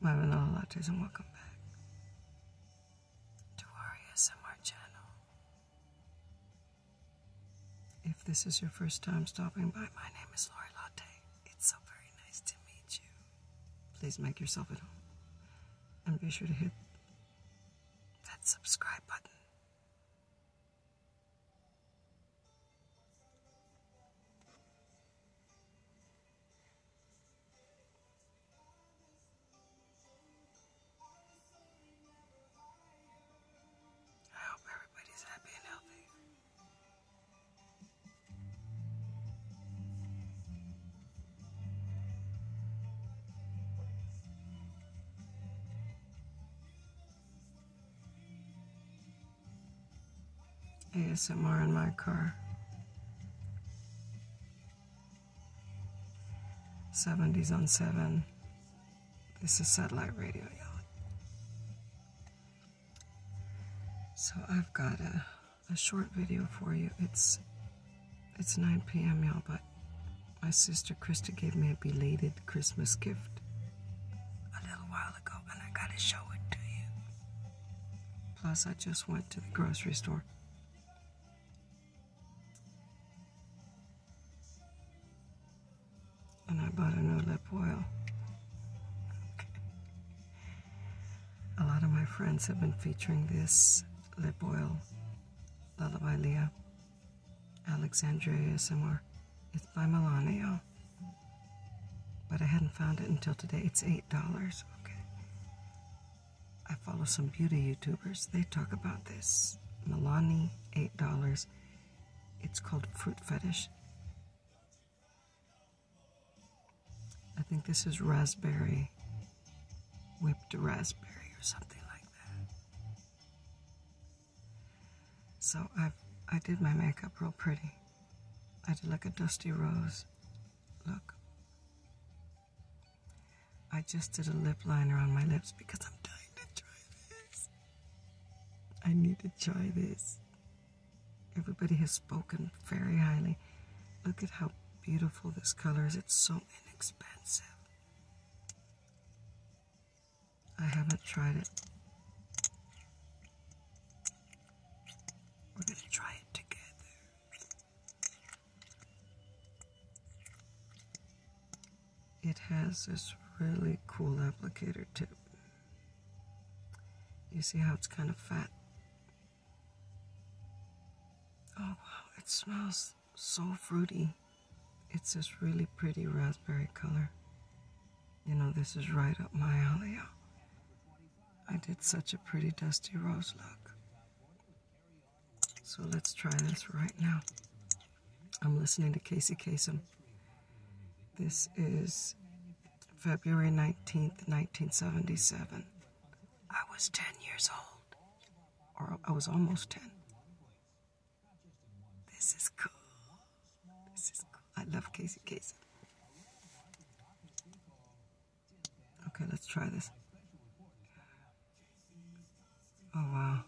Marvelous Lodgers and welcome back to our ASMR channel. If this is your first time stopping by, my name is Lori Latte. It's so very nice to meet you. Please make yourself at home and be sure to hit that subscribe button. I hope everybody's happy and healthy. ASMR in my car. 70s on 7. This is satellite radio, y'all. So I've got a a short video for you. It's it's 9 p.m. y'all, but my sister Krista gave me a belated Christmas gift a little while ago, and I gotta show it to you. Plus, I just went to the grocery store. And I bought a new lip oil. A lot of my friends have been featuring this lip oil, Lullaby Leah, Alexandria ASMR. It's by Milano, but I hadn't found it until today. It's $8, okay. I follow some beauty YouTubers. They talk about this. Milani, $8. It's called Fruit Fetish. I think this is raspberry, whipped raspberry or something like that. So i I did my makeup real pretty. I did like a dusty rose look. I just did a lip liner on my lips because I'm dying to try this. I need to try this. Everybody has spoken very highly. Look at how beautiful this color is. It's so inexpensive. I haven't tried it. We're going to try it together. It has this really cool applicator tip. You see how it's kind of fat? Oh wow, it smells so fruity. It's this really pretty raspberry color. You know, this is right up my alley. I did such a pretty dusty rose look. So let's try this right now. I'm listening to Casey Kasem. This is February 19th, 1977. I was 10 years old, or I was almost 10. This is cool. This is cool. I love Casey Kasem. Okay, let's try this. Oh, wow.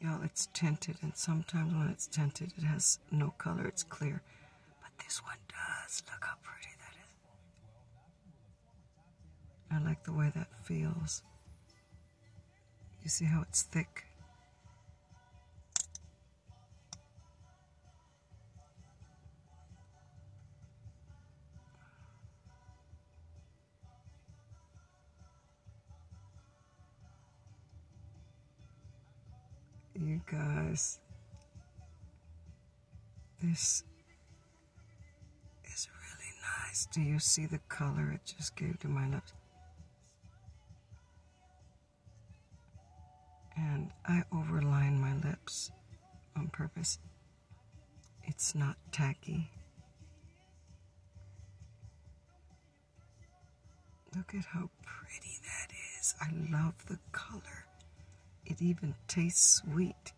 Y'all, it's tinted, and sometimes when it's tinted, it has no color, it's clear. But this one does. Look how pretty that is. I like the way that feels. You see how it's thick? You guys, this is really nice. Do you see the color it just gave to my lips? And I overline my lips on purpose. It's not tacky. Look at how pretty that is. I love the color. It even tastes sweet.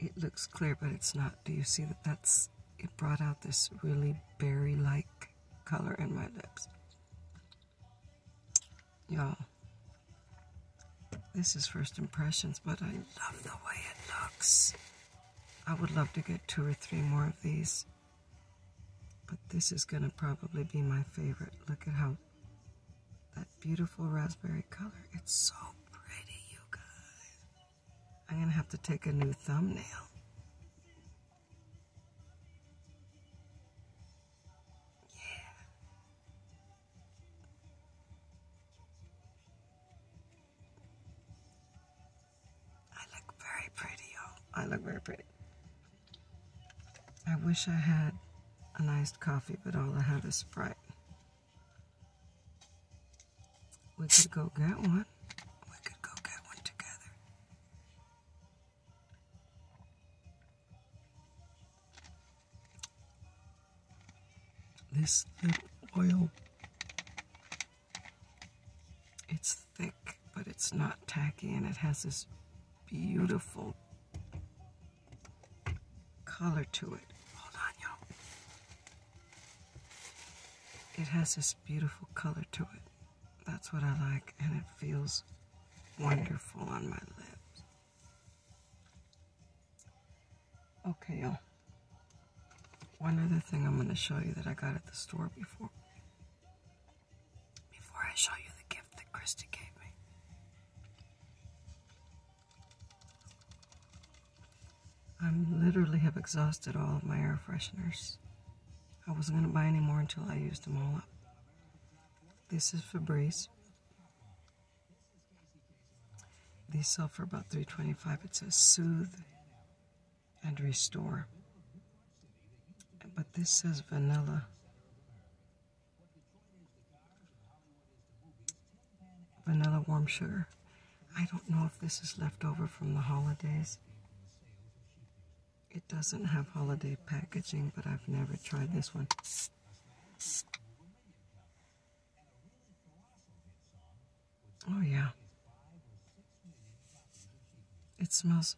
It looks clear, but it's not. Do you see that that's, it brought out this really berry-like color in my lips. Y'all, this is first impressions, but I love the way it looks. I would love to get two or three more of these. But this is going to probably be my favorite. Look at how that beautiful raspberry color. It's so pretty, you guys. I'm going to have to take a new thumbnail. Yeah. I look very pretty, I look very pretty. I wish I had a iced coffee, but all I have is Sprite. We could go get one. We could go get one together. This little oil. It's thick, but it's not tacky, and it has this beautiful color to it. Hold on, y'all. It has this beautiful color to it. That's what I like, and it feels wonderful on my lips. Okay, y'all. One other thing I'm going to show you that I got at the store before. Before I show you the gift that Krista gave me. I literally have exhausted all of my air fresheners. I wasn't going to buy any more until I used them all up. This is Febreze. These sell for about 325 It says soothe and restore. But this says vanilla. Vanilla warm sugar. I don't know if this is left over from the holidays. It doesn't have holiday packaging, but I've never tried this one. Oh, yeah. It smells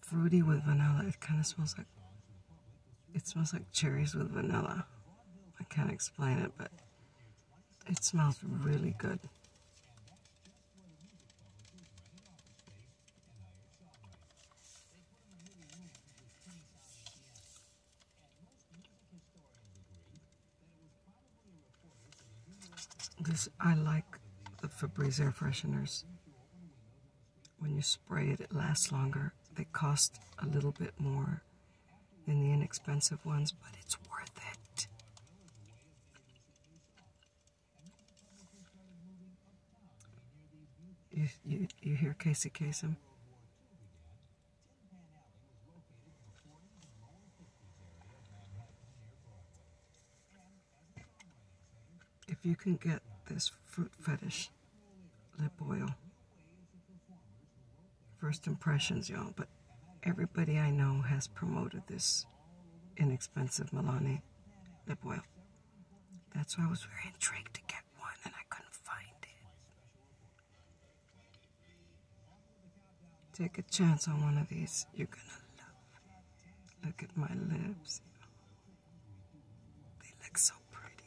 fruity with vanilla. It kind of smells like, it smells like cherries with vanilla. I can't explain it, but it smells really good. This, I like the Febreze air fresheners. When you spray it, it lasts longer. They cost a little bit more than the inexpensive ones, but it's worth it. You, you, you hear Casey Kasem? if you can get this fruit fetish lip oil, first impressions, y'all, but everybody I know has promoted this inexpensive Milani lip oil. That's why I was very intrigued to get one and I couldn't find it. Take a chance on one of these. You're gonna love it. Look at my lips. They look so pretty.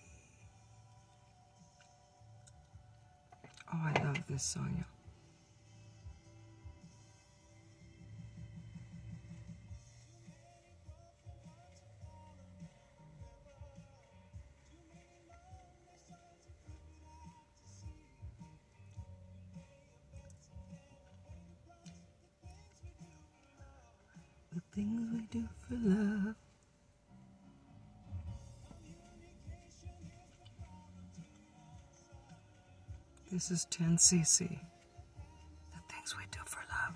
Oh, I love this song, the things we do for love. This is 10cc. The things we do for love.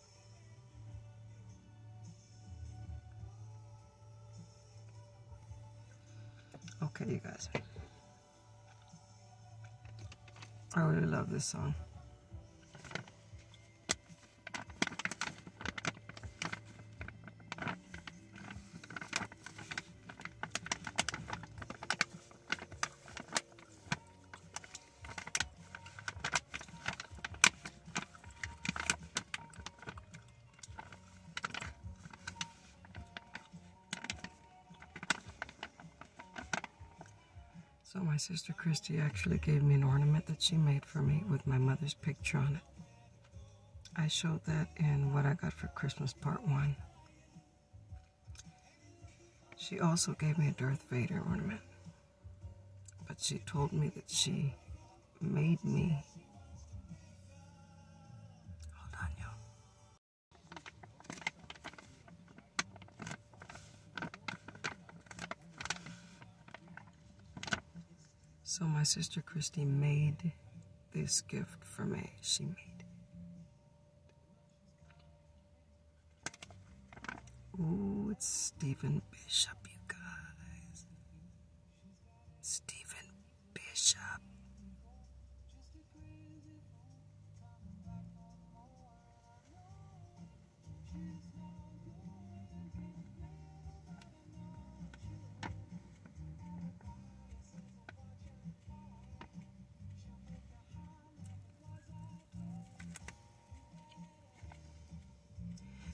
Okay, you guys. I really love this song. So my sister Christy actually gave me an ornament that she made for me with my mother's picture on it. I showed that in what I got for Christmas part one. She also gave me a Darth Vader ornament. But she told me that she made me. So my sister Christy made this gift for me. She made it. Oh, it's Stephen Bishop, you guys. Stephen Bishop.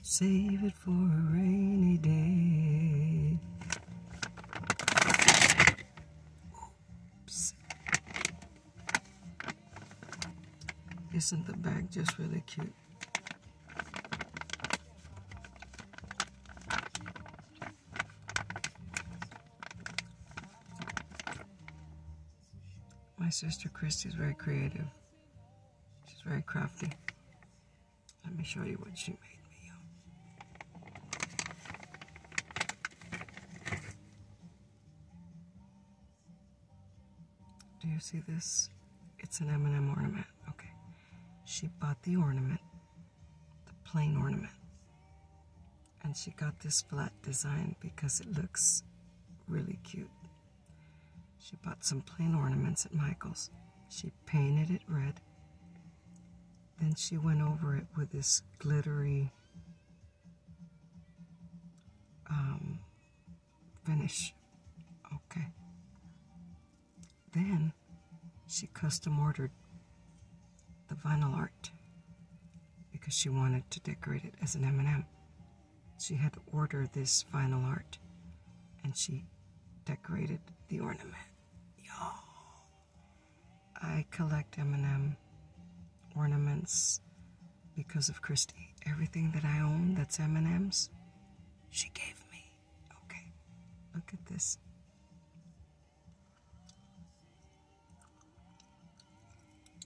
Save it for a rainy day. Isn't the bag just really cute? My sister Christy is very creative. She's very crafty. Let me show you what she made. me. Do you see this? It's an M&M ornament. Okay. She bought the ornament, the plain ornament. And she got this flat design because it looks really cute. She bought some plain ornaments at Michael's. She painted it red. Then she went over it with this glittery um, finish. Okay. Then she custom ordered the vinyl art because she wanted to decorate it as an M&M. She had to order this final art and she decorated the ornament. Yo. I collect M&M ornaments because of Christie. Everything that I own that's M&M's, she gave me. Okay. Look at this.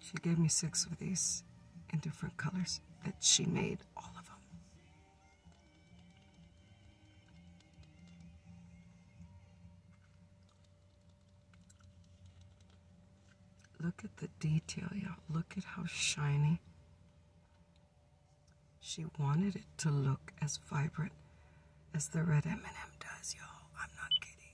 She gave me six of these in different colors that she made all of them. Look at the detail, y'all. Look at how shiny. She wanted it to look as vibrant as the red M&M does, y'all. I'm not kidding.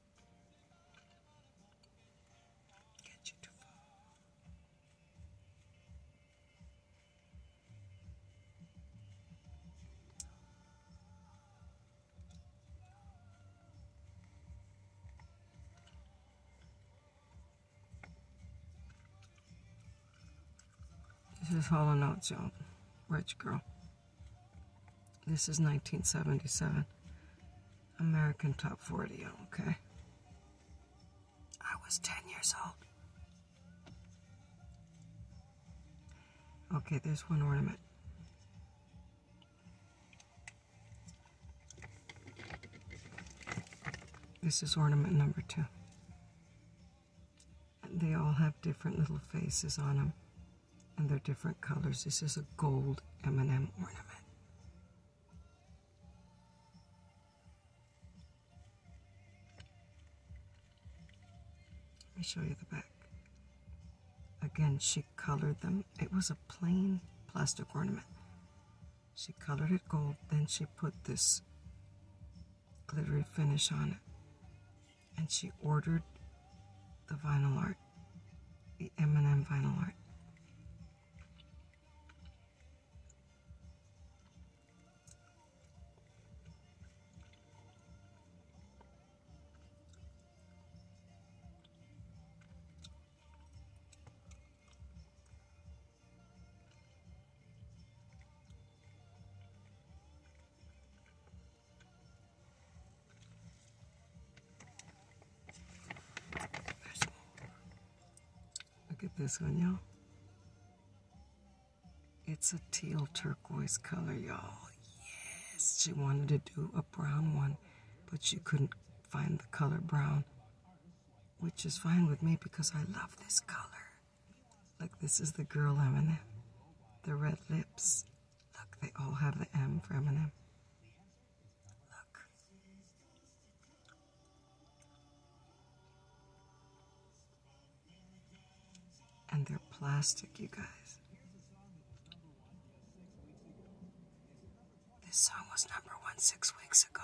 This is Hollow Notes, you Rich girl. This is 1977. American Top 40, okay. I was 10 years old. Okay, there's one ornament. This is ornament number two. And they all have different little faces on them and they're different colors. This is a gold M&M ornament. Let me show you the back. Again, she colored them. It was a plain plastic ornament. She colored it gold, then she put this glittery finish on it. And she ordered the vinyl art the M&M Vinyl Art. Look at this one, y'all. It's a teal turquoise color, y'all. Yes, she wanted to do a brown one, but she couldn't find the color brown, which is fine with me because I love this color. Like this is the girl M&M. The red lips. Look, they all have the M for M&M. And they're plastic, you guys. This song was number one six weeks ago.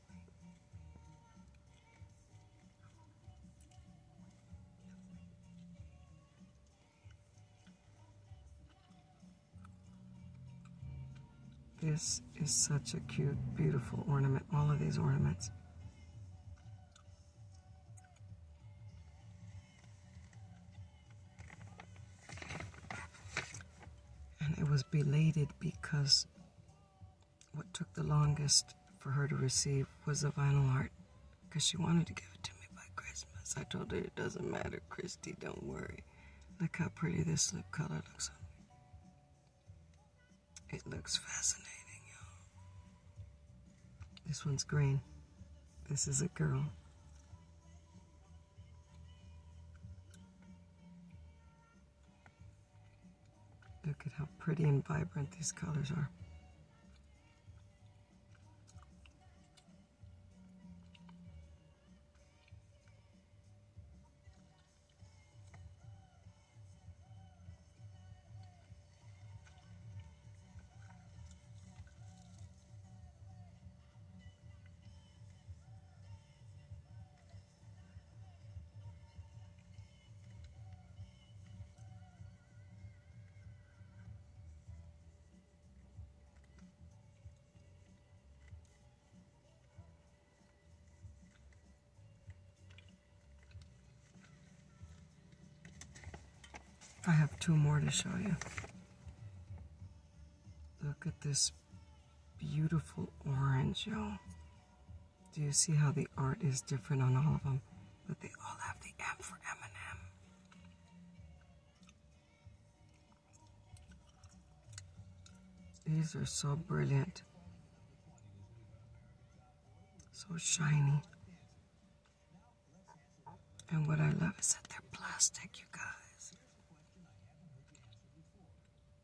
This is such a cute, beautiful ornament, all of these ornaments. And it was belated because what took the longest for her to receive was a vinyl art because she wanted to give it to me by Christmas. I told her it doesn't matter, Christy, don't worry. Look how pretty this lip color looks on me. It looks fascinating, y'all. This one's green. This is a girl. Look at how pretty and vibrant these colors are. I have two more to show you. Look at this beautiful orange, y'all. Do you see how the art is different on all of them? But they all have the M for M&M. These are so brilliant. So shiny. And what I love is that they're plastic, you guys.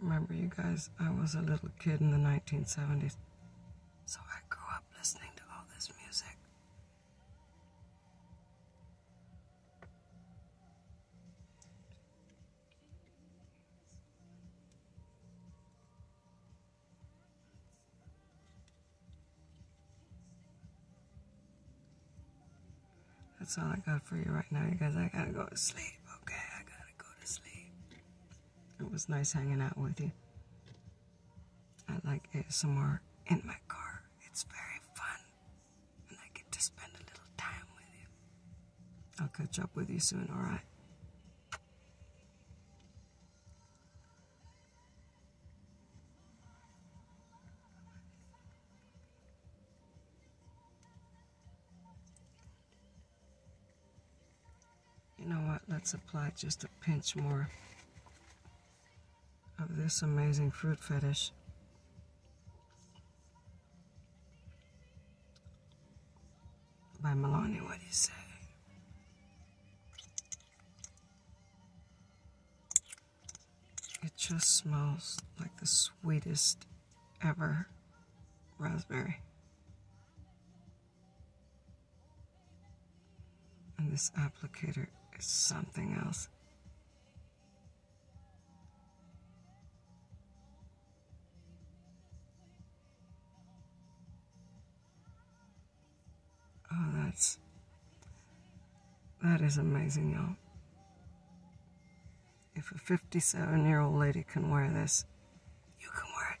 Remember, you guys, I was a little kid in the 1970s, so I grew up listening to all this music. That's all I got for you right now, you guys. I gotta go to sleep, okay? I gotta go it was nice hanging out with you. I like it somewhere in my car. It's very fun. And I get to spend a little time with you. I'll catch up with you soon, alright? You know what? Let's apply just a pinch more of this amazing fruit fetish. By Milani, what do you say? It just smells like the sweetest ever raspberry. And this applicator is something else. Oh, that's, that is amazing, y'all. If a 57 year old lady can wear this, you can wear it.